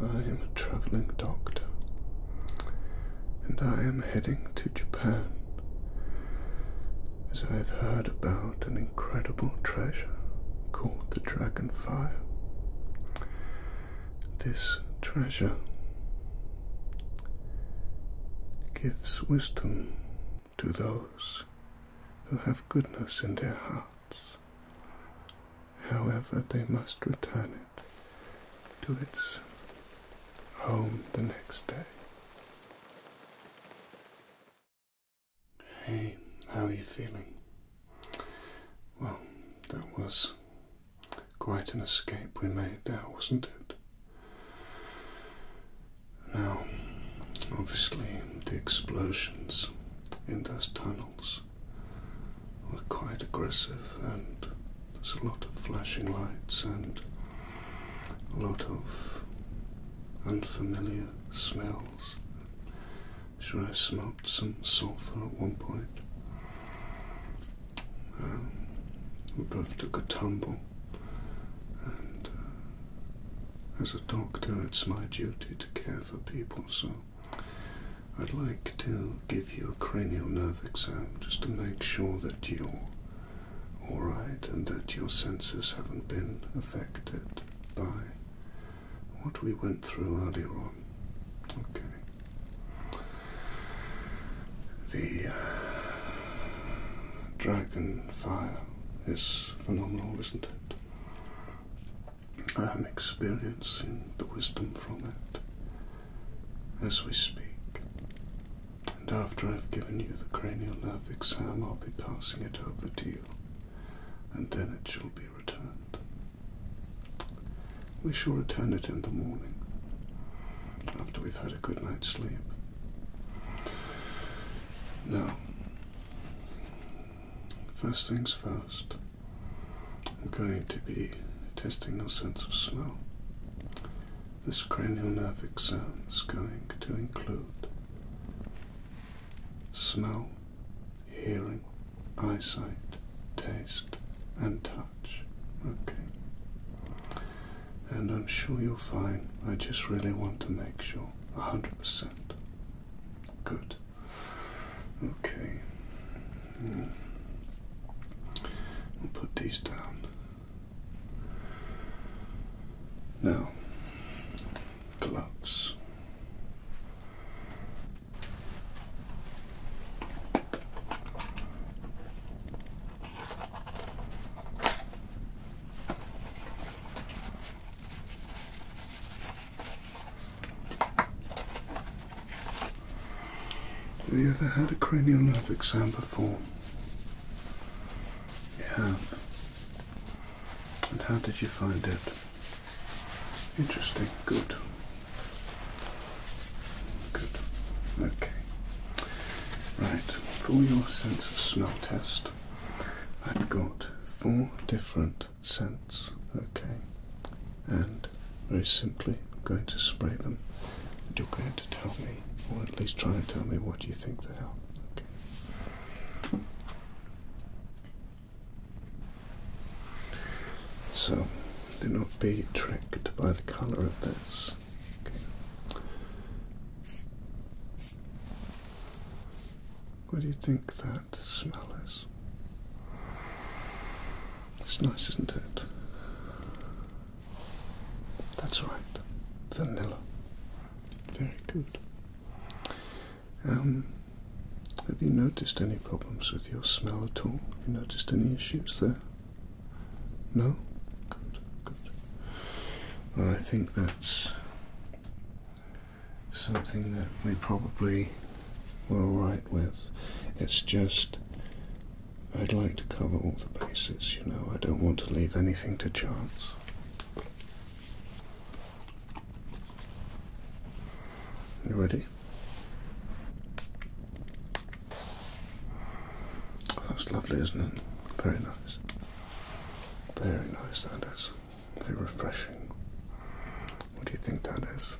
I am a travelling doctor, and I am heading to Japan as I have heard about an incredible treasure called the Dragon Fire. This treasure gives wisdom to those who have goodness in their heart. However, they must return it to its home the next day. Hey, how are you feeling? Well, that was quite an escape we made there, wasn't it? Now, obviously, the explosions in those tunnels were quite aggressive, and there's a lot of flashing lights and a lot of unfamiliar smells. Sure, I smelt some sulphur at one point. Um, we both took a tumble, and uh, as a doctor, it's my duty to care for people, so I'd like to give you a cranial nerve exam just to make sure that you're alright and that your senses haven't been affected by what we went through earlier on. Okay. The uh, dragon fire is phenomenal, isn't it? I'm experiencing the wisdom from it as we speak. And after I've given you the cranial nerve exam, I'll be passing it over to you, and then it shall be returned. We shall return it in the morning after we've had a good night's sleep. Now, first things first. I'm going to be testing your sense of smell. This cranial nerve exam is going to include smell, hearing, eyesight, taste, and touch. Okay. And I'm sure you'll find I just really want to make sure 100%. Good. Okay. Hmm. we will put these down. Now, gloves. Have you ever had a cranial nerve exam before? You have. And how did you find it? Interesting. Good. Good. Okay. Right. For your sense of smell test, I've got four different cents. Okay, and very simply, I'm going to spray them, and you're going to tell me, or at least try and tell me, what you think they are. Okay. So, do not be tricked by the colour of this. Okay. What do you think that the smell is. It's nice, isn't it? That's right, vanilla. Very good. Um, have you noticed any problems with your smell at all? Have you noticed any issues there? No? Good, good. Well, I think that's something that we probably were alright with. It's just I'd like to cover all the bases, you know, I don't want to leave anything to chance. You ready? that's lovely, isn't it? Very nice. Very nice, that is. Very refreshing. What do you think that is?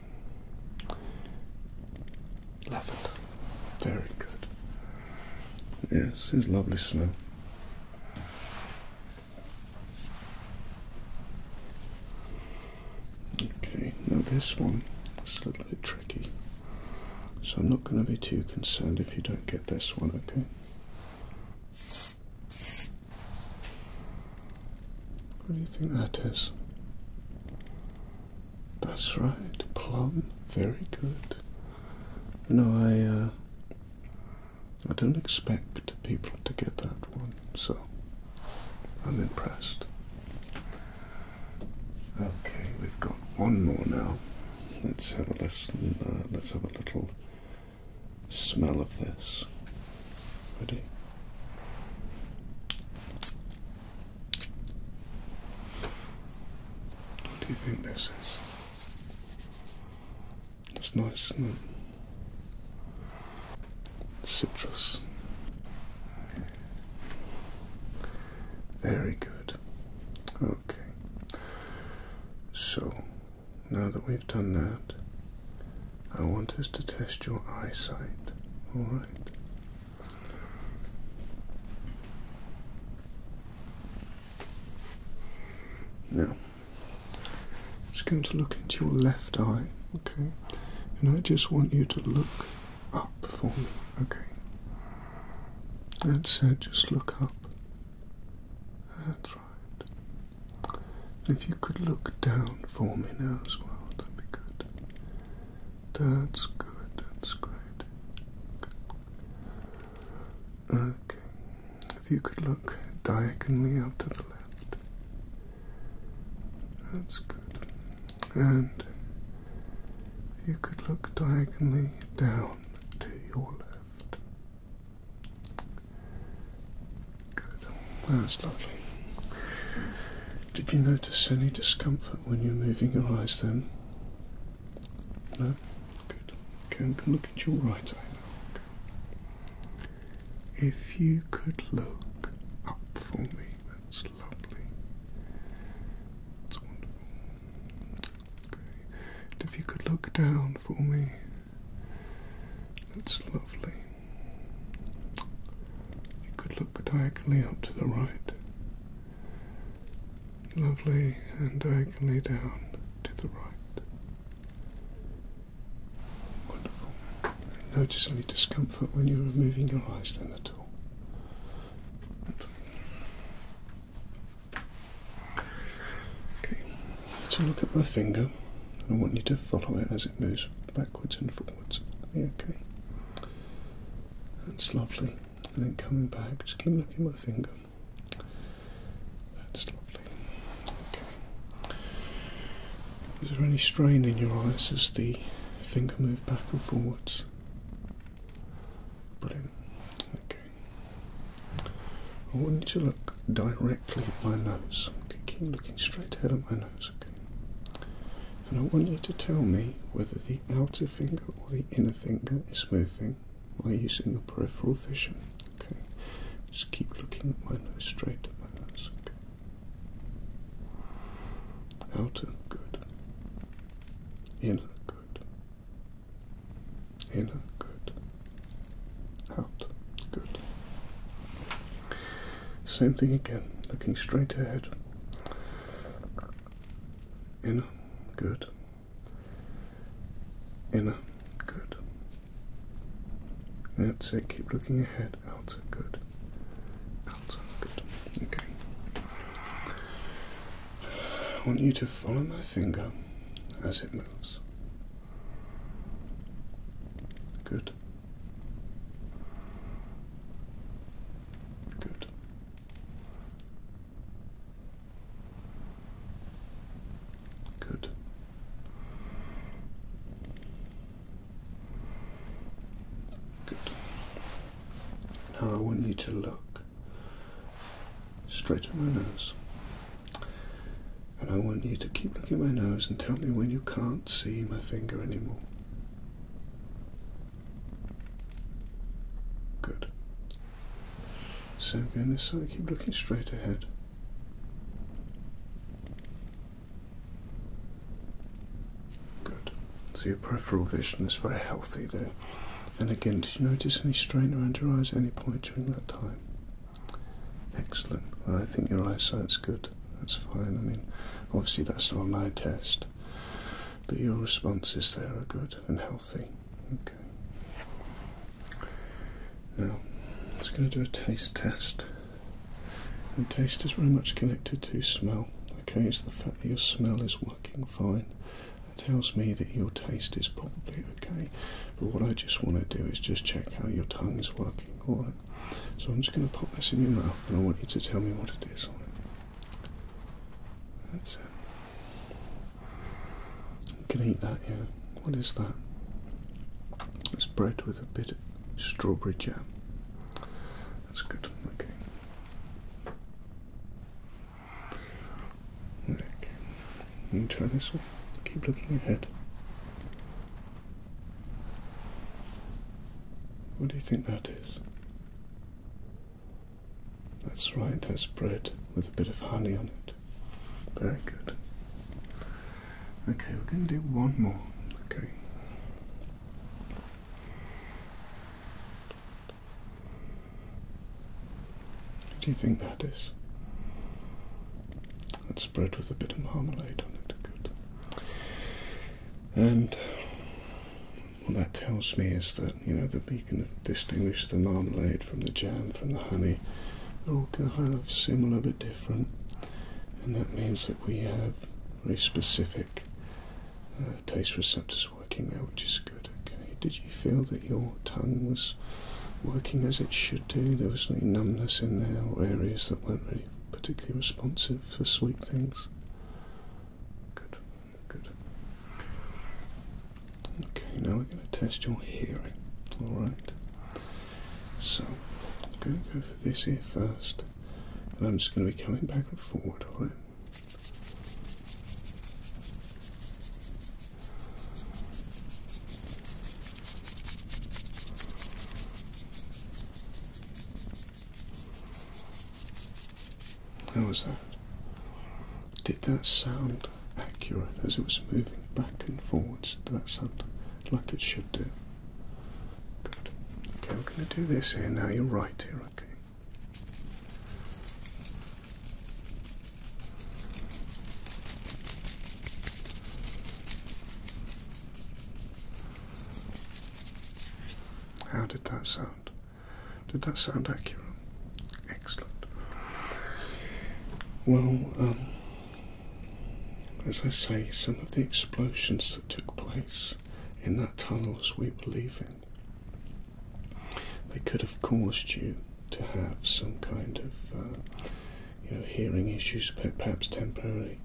Lavender. Very good. Yes, it's lovely smell. Okay, now this one is a little bit tricky. So I'm not going to be too concerned if you don't get this one, okay? What do you think that is? That's right, plum. Very good. No, I. Uh, I don't expect people to get that one, so I'm impressed. Okay, we've got one more now. Let's have a listen. Uh, let's have a little smell of this. Ready? What do you think this is? It's nice, isn't Citrus. Very good. Okay. So now that we've done that, I want us to test your eyesight. All right. Now, it's going to look into your left eye, okay? And I just want you to look up for me, okay? That's it, uh, just look up. That's right. If you could look down for me now as well, that'd be good. That's good, that's great. Good. Okay. If you could look diagonally out to the left. That's good. And if you could look diagonally down to your left. Good. That's lovely. Did you notice any discomfort when you're moving your eyes then? No? Good. Okay, i look at your right eye If you could look up for me, that's lovely. That's wonderful. Okay. if you could look down for me. That's lovely. You could look diagonally up to the right. Lovely, and diagonally down to the right. Wonderful. Notice any discomfort when you're moving your eyes then at all. Okay, let's look at my finger. I want you to follow it as it moves backwards and forwards. Okay, that's lovely. And then coming back, just keep looking at my finger. That's lovely. Okay. Is there any strain in your eyes as the finger moves back and forwards? Brilliant. Okay. I want you to look directly at my nose. Okay, keep looking straight ahead at my nose. Okay, and I want you to tell me whether the outer finger or the inner finger is moving while using the peripheral vision. Okay, just keep looking at my nose straight at my nose. Okay, outer good, inner good. Inner, good. Out, good. Same thing again, looking straight ahead. Inner, good. Inner, good. That's it, keep looking ahead. Outer, good. Out, good. Okay. I want you to follow my finger as it moves. Good. Good. Good. Good. Now I want you to look straight at my nose. And I want you to keep looking my nose and tell me when you can't see my finger anymore. Good. So again this side, keep looking straight ahead. Good. So your peripheral vision is very healthy there. And again, did you notice any strain around your eyes at any point during that time? Excellent. I think your eyesight's good. That's fine. I mean, obviously that's not an eye test, but your responses there are good and healthy. Okay. Now, I'm just going to do a taste test. And taste is very much connected to smell. Okay, so the fact that your smell is working fine. tells me that your taste is probably okay? But what I just want to do is just check how your tongue is working, alright? So I'm just going to pop this in your mouth and I want you to tell me what it is, alright? That's it. You can eat that, yeah. What is that? It's bread with a bit of strawberry jam. That's good, okay. Back. And try this one. Keep looking ahead. What do you think that is? That's right, that's bread with a bit of honey on it. Very good. Okay, we're going to do one more. Okay. What do you think that is? That's spread with a bit of marmalade on it. Good. And what that tells me is that, you know, that we can distinguish the marmalade from the jam, from the honey. They're all kind of similar but different. And that means that we have very specific uh, taste receptors working there, which is good. Did you feel that your tongue was working as it should do? There was any numbness in there or areas that weren't really particularly responsive for sweet things? Good, good. Okay, now we're going to test your hearing. Alright. So, I'm going to go for this ear first, and I'm just going to be coming back and forward, alright? How was that? Did that sound accurate as it was moving back and forwards? Did that sound like it should do? Good. Okay, we're going to do this here now. You're right here, okay? How did that sound? Did that sound accurate? Excellent. Well, um, as I say, some of the explosions that took place in that tunnel as we were leaving, they could have caused you to have some kind of uh, you know hearing issues, perhaps temporarily,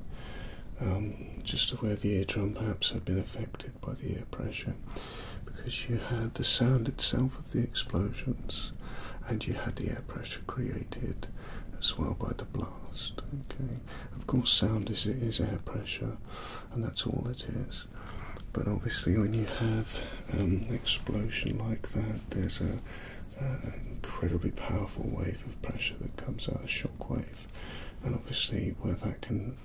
um, just where the ear drum perhaps had been affected by the air pressure, because you had the sound itself of the explosions, and you had the air pressure created as well by the blast. Okay, of course, sound is is air pressure, and that's all it is. But obviously, when you have um, an explosion like that, there's an incredibly powerful wave of pressure that comes out, a shock wave, and obviously, where that can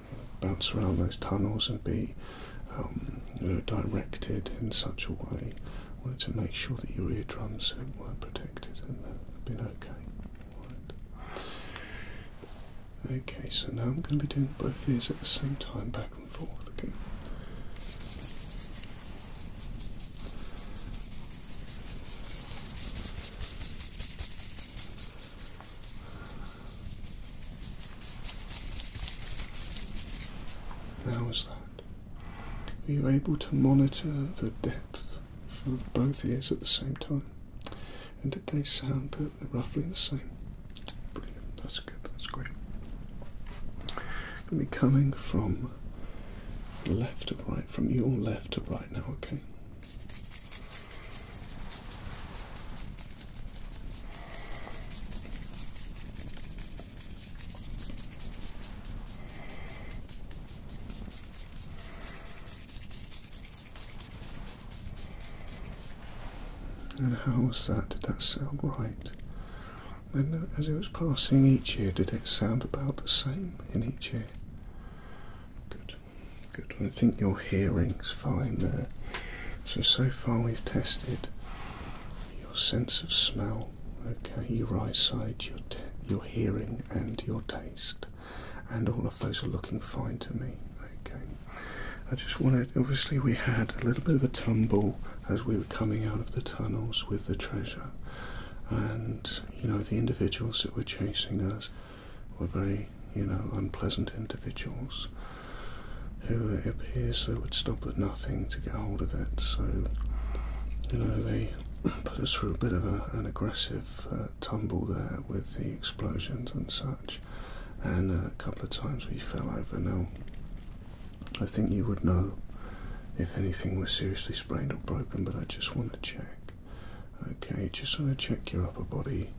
bounce around those tunnels and be um, you know, directed in such a way, I wanted to make sure that your eardrums were protected and have been okay. Okay, so now I'm going to be doing both ears at the same time, back back How was that? Were you able to monitor the depth for both ears at the same time? And did they sound roughly the same? that's good, that's great. Gonna be coming from left to right, from your left to right now, okay? And how was that? Did that sound right? And as it was passing each ear, did it sound about the same in each ear? Good, good. I think your hearing's fine there. So, so far we've tested your sense of smell, okay, your eyesight, your, your hearing, and your taste. And all of those are looking fine to me, okay. I just wanted, obviously, we had a little bit of a tumble as we were coming out of the tunnels with the treasure, and you know, the individuals that were chasing us were very, you know, unpleasant individuals who it appears would stop at nothing to get hold of it. So, you know, they put us through a bit of an aggressive uh, tumble there with the explosions and such and uh, a couple of times we fell over. Now, I think you would know if anything was seriously sprained or broken, but I just want to check. Okay, just want to check your upper body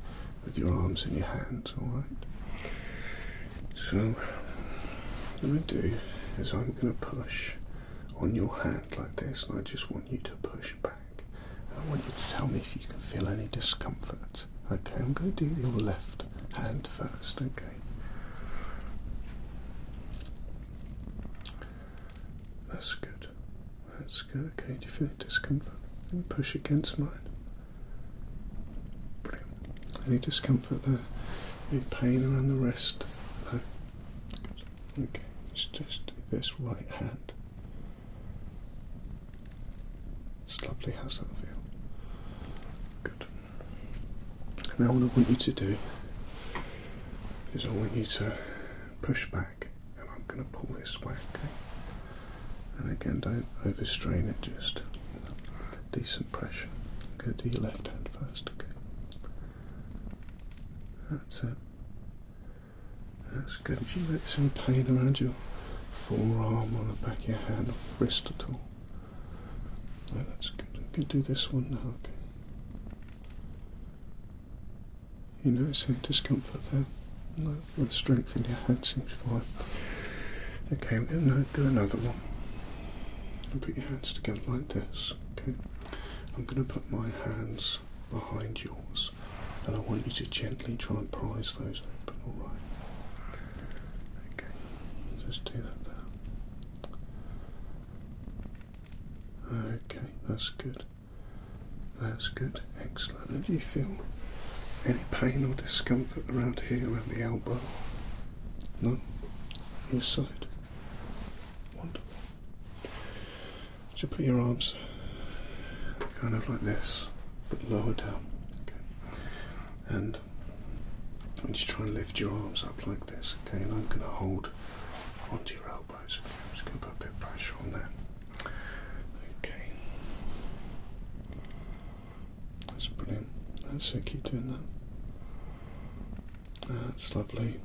with your arms and your hands, alright? So, what I'm going to do is I'm going to push on your hand like this, and I just want you to push back. I want you to tell me if you can feel any discomfort. Okay, I'm going to do your left hand first, okay. That's good. That's good. Okay, do you feel any discomfort? push against mine. Any discomfort there? Any pain around the wrist? Okay, let's just do this right hand. It's lovely, how's that feel? Good. Now what I want you to do is I want you to push back and I'm going to pull this way, okay? And again, don't overstrain it, just decent pressure. i to do your left hand first, okay? That's it. That's good. If you let some pain around your forearm on the back of your hand or wrist at all. that's good. I'm do this one now, okay? You notice any discomfort there? No, the strength in your hands, seems fine. Okay, we're going do another one. And put your hands together like this, okay? I'm going to put my hands behind yours and I want you to gently try and prise those open, alright? Okay, just do that there. Okay, that's good. That's good, excellent. do you feel any pain or discomfort around here, around the elbow? No? This side? Wonderful. Would you put your arms kind of like this, but lower down? Okay. And just try and lift your arms up like this, okay? And I'm going to hold onto your elbows, okay? I'm just going to put a bit of pressure on there. Okay. That's brilliant. That's it, keep doing that. That's lovely.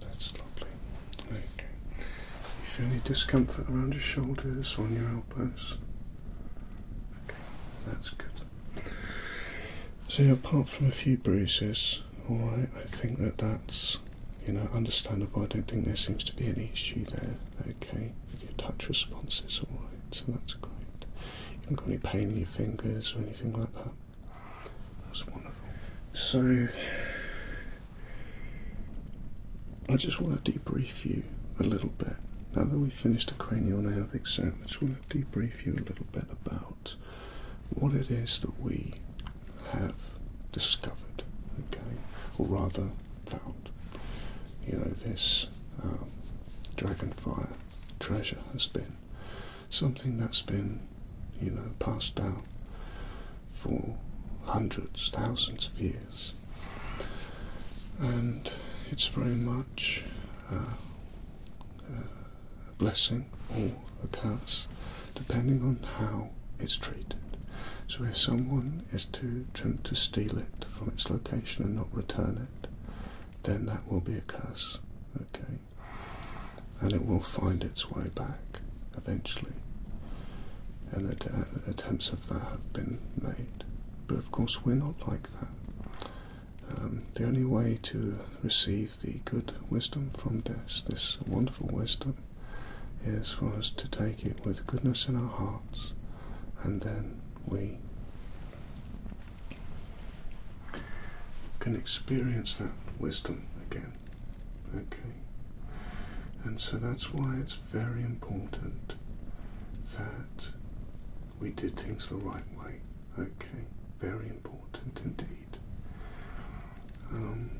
That's lovely. Okay. You any discomfort around your shoulders or on your elbows? Okay, that's good. So apart from a few bruises, all right, I think that that's you know understandable. I don't think there seems to be any issue there. Okay, your touch response is all right, so that's great. You haven't got any pain in your fingers or anything like that. That's wonderful. So, I just want to debrief you a little bit. Now that we've finished the cranial nerve exam, I just want to debrief you a little bit about what it is that we have discovered, okay, or rather found. You know, this um, dragonfire treasure has been something that's been, you know, passed down for hundreds, thousands of years and it's very much uh, uh, a blessing or a curse depending on how it's treated. So, if someone is to attempt to steal it from its location and not return it, then that will be a curse, okay, and it will find its way back eventually. And attempts of that have been made. But of course, we're not like that. Um, the only way to receive the good wisdom from this, this wonderful wisdom, is for us to take it with goodness in our hearts, and then we can experience that wisdom again. Okay? And so that's why it's very important that we did things the right way. Okay, very important indeed. Um,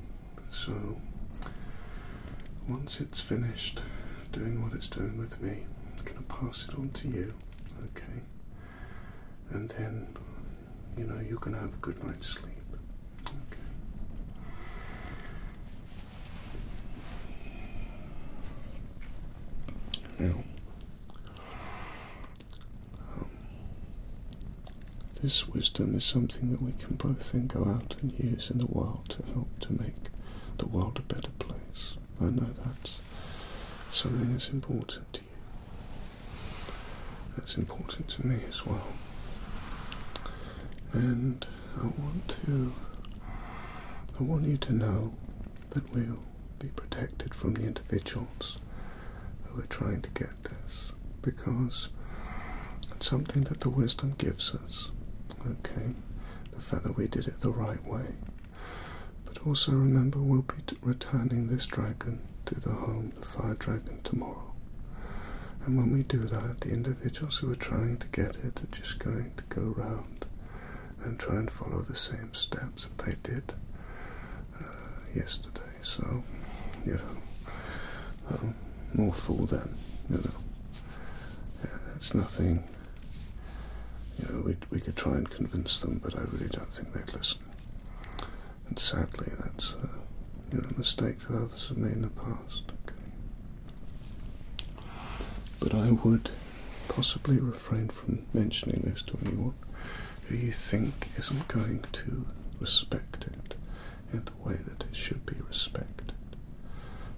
so, once it's finished doing what it's doing with me, I'm going to pass it on to you. Okay, and then you know you're going to have a good night's sleep. Okay. Now, um, this wisdom is something that we can both then go out and use in the world to help to make the world a better place. I know that's something that's important to you. That's important to me as well. And I want to. I want you to know that we'll be protected from the individuals who are trying to get this because it's something that the wisdom gives us. Okay? The fact that we did it the right way. But also remember, we'll be returning this dragon to the home, the fire dragon, tomorrow. And when we do that, the individuals who are trying to get it are just going to go round and try and follow the same steps that they did uh, yesterday. So, um, you know, more fool them, you know. It's nothing, you know, we, we could try and convince them, but I really don't think they'd listen. And sadly, that's a mistake like that. This is in the past. But I would possibly refrain from mentioning this to anyone who you think isn't going to respect it in the way that it should be respected.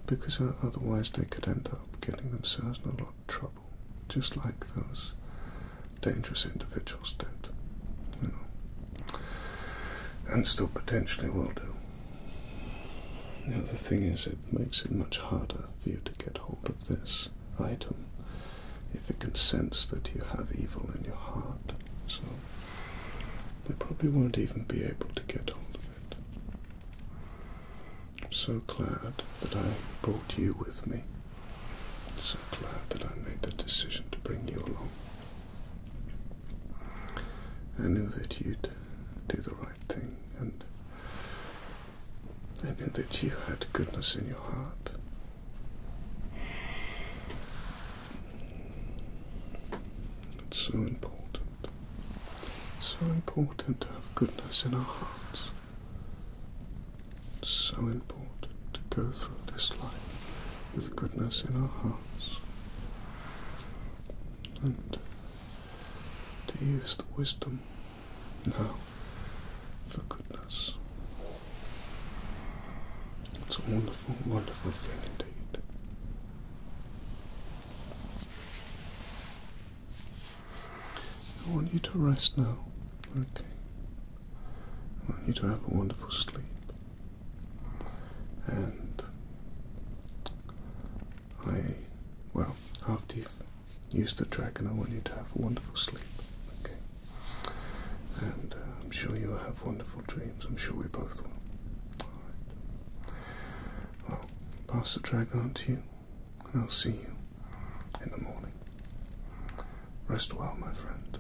Because otherwise they could end up getting themselves in a lot of trouble. Just like those dangerous individuals did and still potentially will do. The other thing is, it makes it much harder for you to get hold of this item if it can sense that you have evil in your heart. So they probably won't even be able to get hold of it. I'm so glad that I brought you with me. I'm so glad that I made the decision to bring you along. I knew that you'd do the right thing, and I knew that you had goodness in your heart. It's so important, so important to have goodness in our hearts. It's so important to go through this life with goodness in our heart and to use the wisdom now for goodness. It's a wonderful, wonderful thing indeed. I want you to rest now, okay? I want you to have a wonderful sleep and I, well, after you've used the dragon, I want you to have a wonderful sleep, okay? And uh, I'm sure you'll have wonderful dreams. I'm sure we both will. All right. Well, pass the dragon on to you, and I'll see you in the morning. Rest well, my friend.